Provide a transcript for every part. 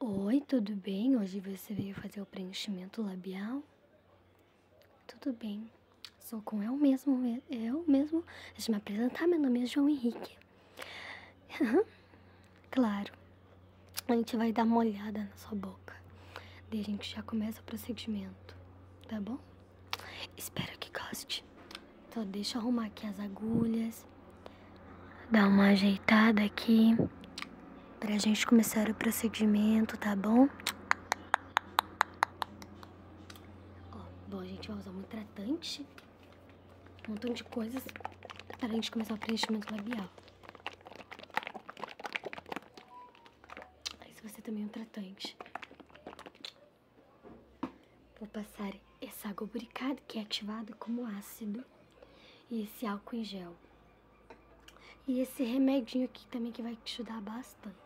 Oi, tudo bem? Hoje você veio fazer o preenchimento labial? Tudo bem. Sou com eu mesmo, eu mesmo. Deixa me apresentar, meu nome é João Henrique. claro. A gente vai dar uma olhada na sua boca. Daí a gente já começa o procedimento, tá bom? Espero que goste. Então deixa eu arrumar aqui as agulhas dar uma ajeitada aqui pra gente começar o procedimento, tá bom? Ó, bom, a gente vai usar um tratante, um montão de coisas pra gente começar o preenchimento labial. Esse vai ser também é um tratante. Vou passar esse água que é ativado como ácido. E esse álcool em gel. E esse remedinho aqui também que vai te ajudar bastante.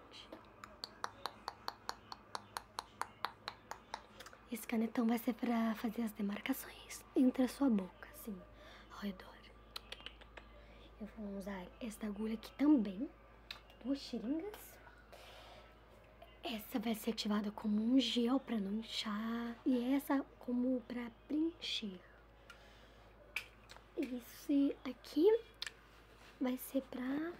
Esse canetão vai ser pra fazer as demarcações entre a sua boca, assim, ao redor. Eu vou usar essa agulha aqui também, duas seringas. Essa vai ser ativada como um gel pra não inchar. E essa como para preencher. Esse aqui vai ser para,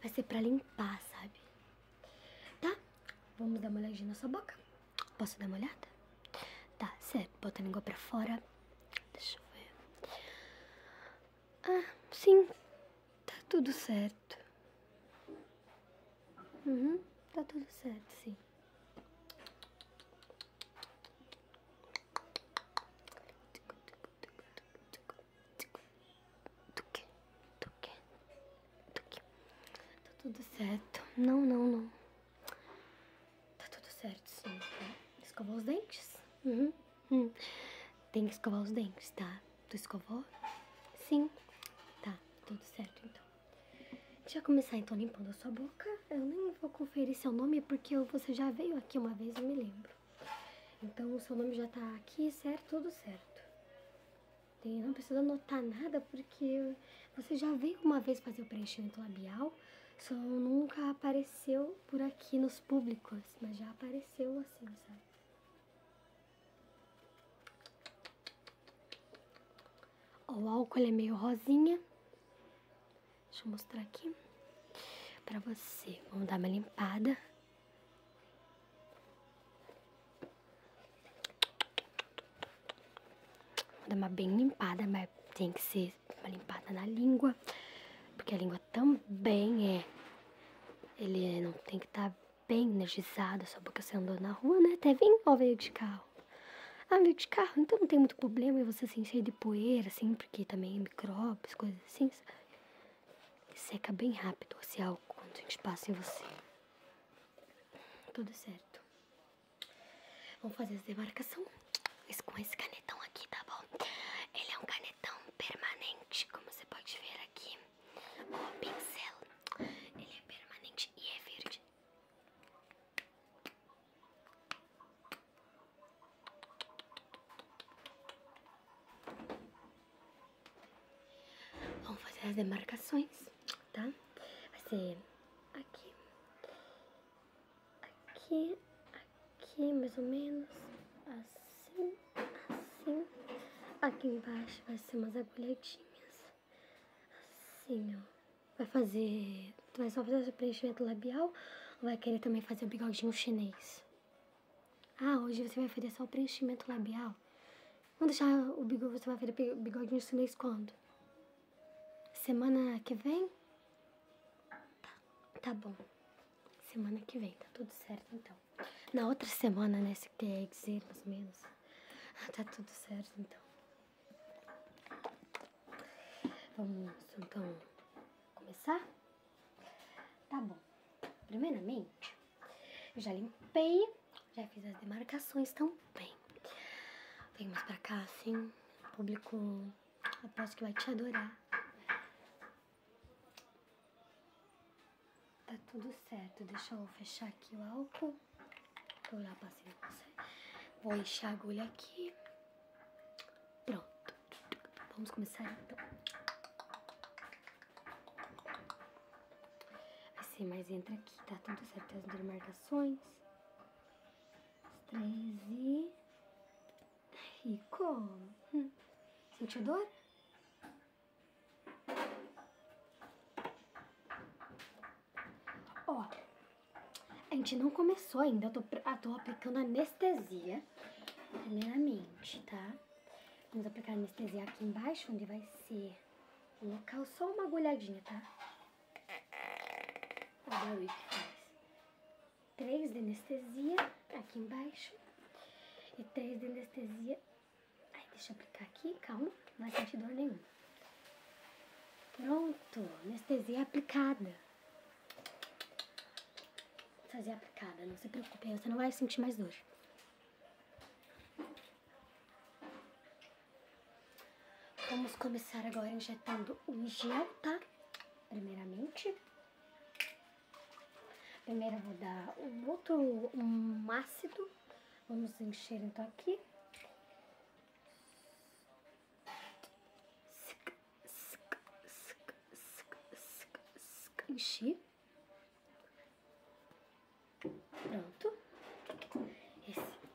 vai ser pra limpar, sabe? Tá? Vamos dar uma olhadinha na sua boca? Posso dar uma olhada? Tá, certo. bota a língua para fora. Deixa eu ver. Ah, sim, tá tudo certo. Uhum, tá tudo certo, sim. Tá tudo certo. Não, não, não. Tá tudo certo, sim. Escovar os dentes? Uhum, uhum. Tem que escovar os dentes, tá? Tu escovou? Sim. Tá, tudo certo então. Deixa eu começar então limpando a sua boca. Eu nem vou conferir seu nome porque você já veio aqui uma vez, eu me lembro. Então o seu nome já tá aqui, certo? Tudo certo. não precisa anotar nada porque você já veio uma vez fazer o preenchimento labial, só nunca apareceu por aqui nos públicos, mas já apareceu assim, sabe? Ó, o álcool é meio rosinha. Deixa eu mostrar aqui pra você. Vamos dar uma limpada. Vou dar uma bem limpada, mas tem que ser uma limpada na língua. Porque a língua também é. Ele é, não tem que estar tá bem energizada, só porque você andou na rua, né? Até vem ou veio de carro? Ah, veio de carro, então não tem muito problema e você se cheio de poeira, assim, porque também é micróbios, coisas assim. Seca bem rápido esse álcool quando a gente passa em você. Tudo certo. Vamos fazer essa demarcação com esse canetão aqui, tá bom? Ele é um canetão permanente, como você pode ver aqui. O pincel, ele é permanente e é verde. Vamos fazer as demarcações, tá? Vai ser aqui, aqui, aqui, mais ou menos, assim, assim. Aqui embaixo vai ser umas agulhetinhas Assim, ó. Vai fazer... Tu vai só fazer o preenchimento labial ou vai querer também fazer o bigodinho chinês? Ah, hoje você vai fazer só o preenchimento labial? Vamos deixar o bigode... Você vai fazer o bigodinho chinês quando? Semana que vem? Tá, tá bom. Semana que vem, tá tudo certo então na outra semana, né? Se quer dizer, mais ou menos. Ah, tá tudo certo, então. Vamos, então, começar? Tá bom. Primeiramente, eu já limpei, já fiz as demarcações também. Vem mais pra cá, assim. O público, aposto que vai te adorar. Tá tudo certo. Deixa eu fechar aqui o álcool. Eu já passei Vou encher a agulha aqui. Pronto. Vamos começar então. Assim, mais entra aqui, tá tudo certo. As demarcações. As 13. Rico. Hum. Sentiu dor? Ó, a gente não começou ainda, eu tô, ah, tô aplicando anestesia primeiramente, tá? Vamos aplicar anestesia aqui embaixo, onde vai ser o local, só uma agulhadinha, tá? O que faz. Três de anestesia aqui embaixo e três de anestesia Aí, deixa eu aplicar aqui, calma, não vai sentir dor nenhuma. Pronto, anestesia aplicada. Anestesia aplicada, não se preocupe, você não vai sentir mais dor. Vamos começar agora injetando o gel, tá? Primeiramente. Primeiro eu vou dar um outro, um ácido Vamos encher então aqui. Enchi. Pronto. Esse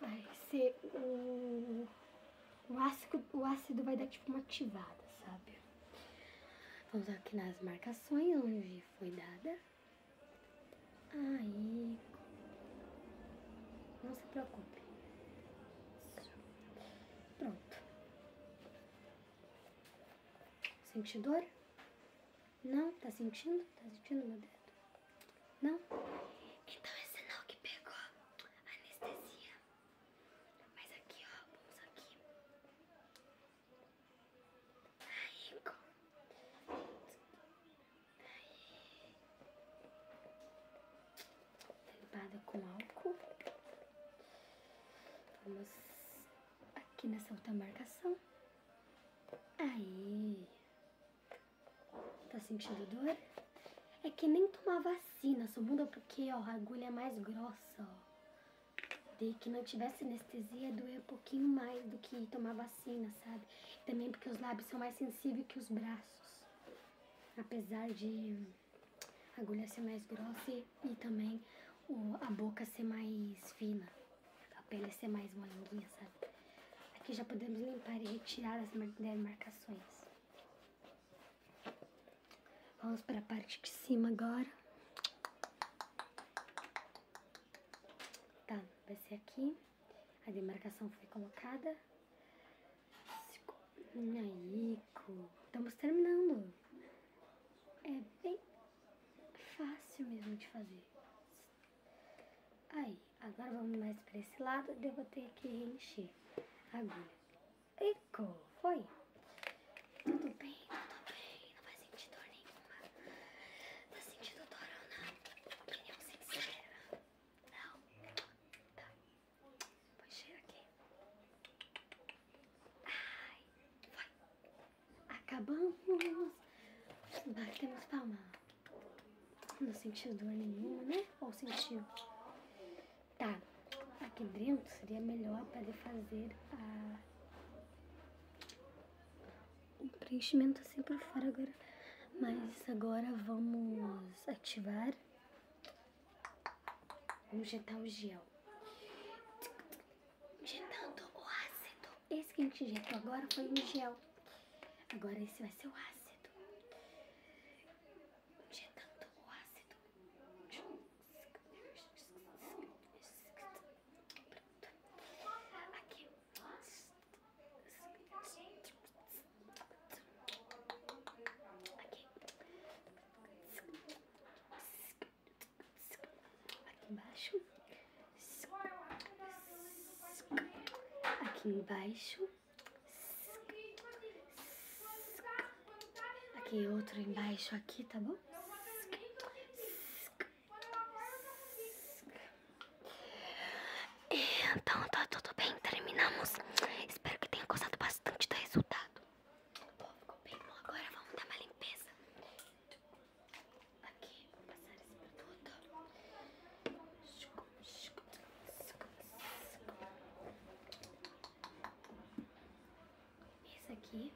vai ser o... O ácido, o ácido vai dar tipo uma ativada, sabe? Vamos aqui nas marcações onde foi dada. Aí. Não se preocupe. Pronto. Sente dor? Não? Tá sentindo? Tá sentindo meu dedo? Não? Então é sinal que pegou anestesia. Mas aqui, vamos aqui. Limpada com álcool. Vamos aqui nessa outra marcação. Aí. Tá sentindo dor? É que nem tomar vacina, sua bunda, porque ó, a agulha é mais grossa, ó de que não tivesse anestesia, doer um pouquinho mais do que tomar vacina, sabe? Também porque os lábios são mais sensíveis que os braços. Apesar de a agulha ser mais grossa e, também o, a boca ser mais fina, a pele ser mais molenguinha, sabe? Aqui já podemos limpar e retirar as demarcações. Né, Vamos para a parte de cima agora. Tá, vai ser aqui. A demarcação foi colocada. Aí, estamos terminando. É bem fácil mesmo de fazer. Aí, agora vamos mais para esse lado. Eu vou ter que encher a agulha. foi. Tudo bem, tudo bem. Não vai sentir dor nenhuma. Tá sentindo dor ou não? Opinião sincera. Não? Tá. Vou cheirar aqui. Ai, foi. Acabamos. Batemos palma. Não sentiu dor nenhuma, né? Ou sentiu? Tá. Aqui dentro seria melhor para ele fazer a o preenchimento assim é para fora agora. Mas agora vamos ativar. Vamos injetar o gel. Injetando o ácido. Esse que a gente injetou agora foi o gel. Agora esse vai ser o ácido. Injetando o ácido. Aqui. embaixo. Aqui embaixo. Aqui outro embaixo aqui, tá bom? Então tá tudo bem, terminamos. Espero que tenha gostado bastante do resultado. Pô, ficou bem bom. Agora vamos dar uma limpeza. Aqui, vou passar esse produto. Esse aqui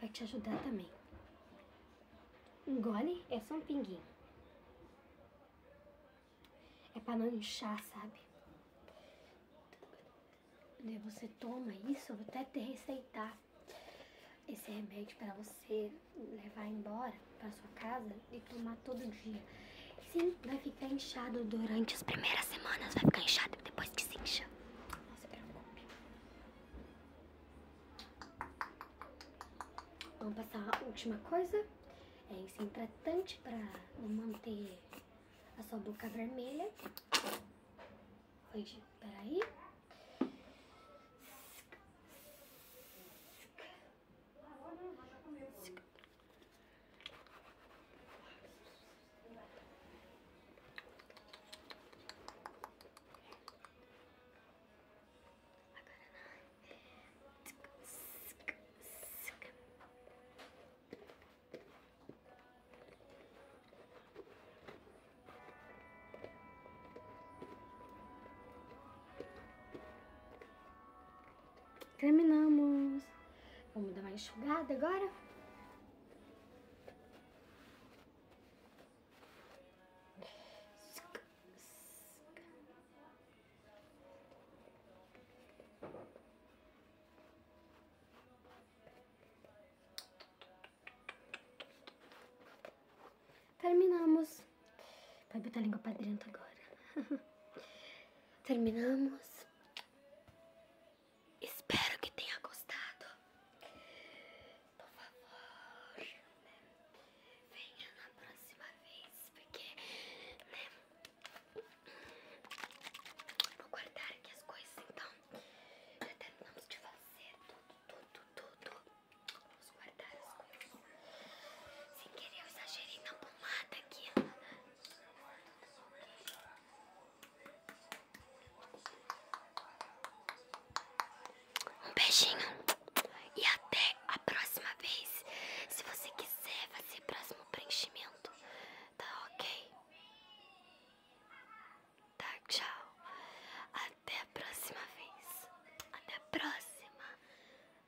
vai te ajudar também. Engole, é só um pinguinho. É pra não inchar, sabe? Você toma isso, eu vou até te receitar esse remédio para você levar embora para sua casa e tomar todo dia. Sim, vai ficar inchado durante as primeiras semanas, vai ficar inchado depois que se incha. Vamos passar a última coisa. É esse hidratante para manter a sua boca vermelha. Hoje, aí. Terminamos. Vamos dar uma enxugada agora. Terminamos. Vai botar a língua pra dentro agora. Terminamos. Espero que tenha gostado. Por favor, né? Venha na próxima vez, porque, né? Vou guardar aqui as coisas, então. Já terminamos de fazer tudo, tudo, tudo. Vamos guardar as coisas. Sem querer, eu exagerei na pomada aqui. Um beijinho e até a próxima vez. Se você quiser fazer próximo preenchimento, tá ok? Tá, tchau. Até a próxima vez. Até a próxima.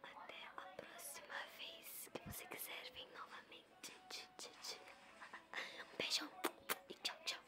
Até a próxima vez que você quiser vem novamente. Um beijão e tchau, tchau.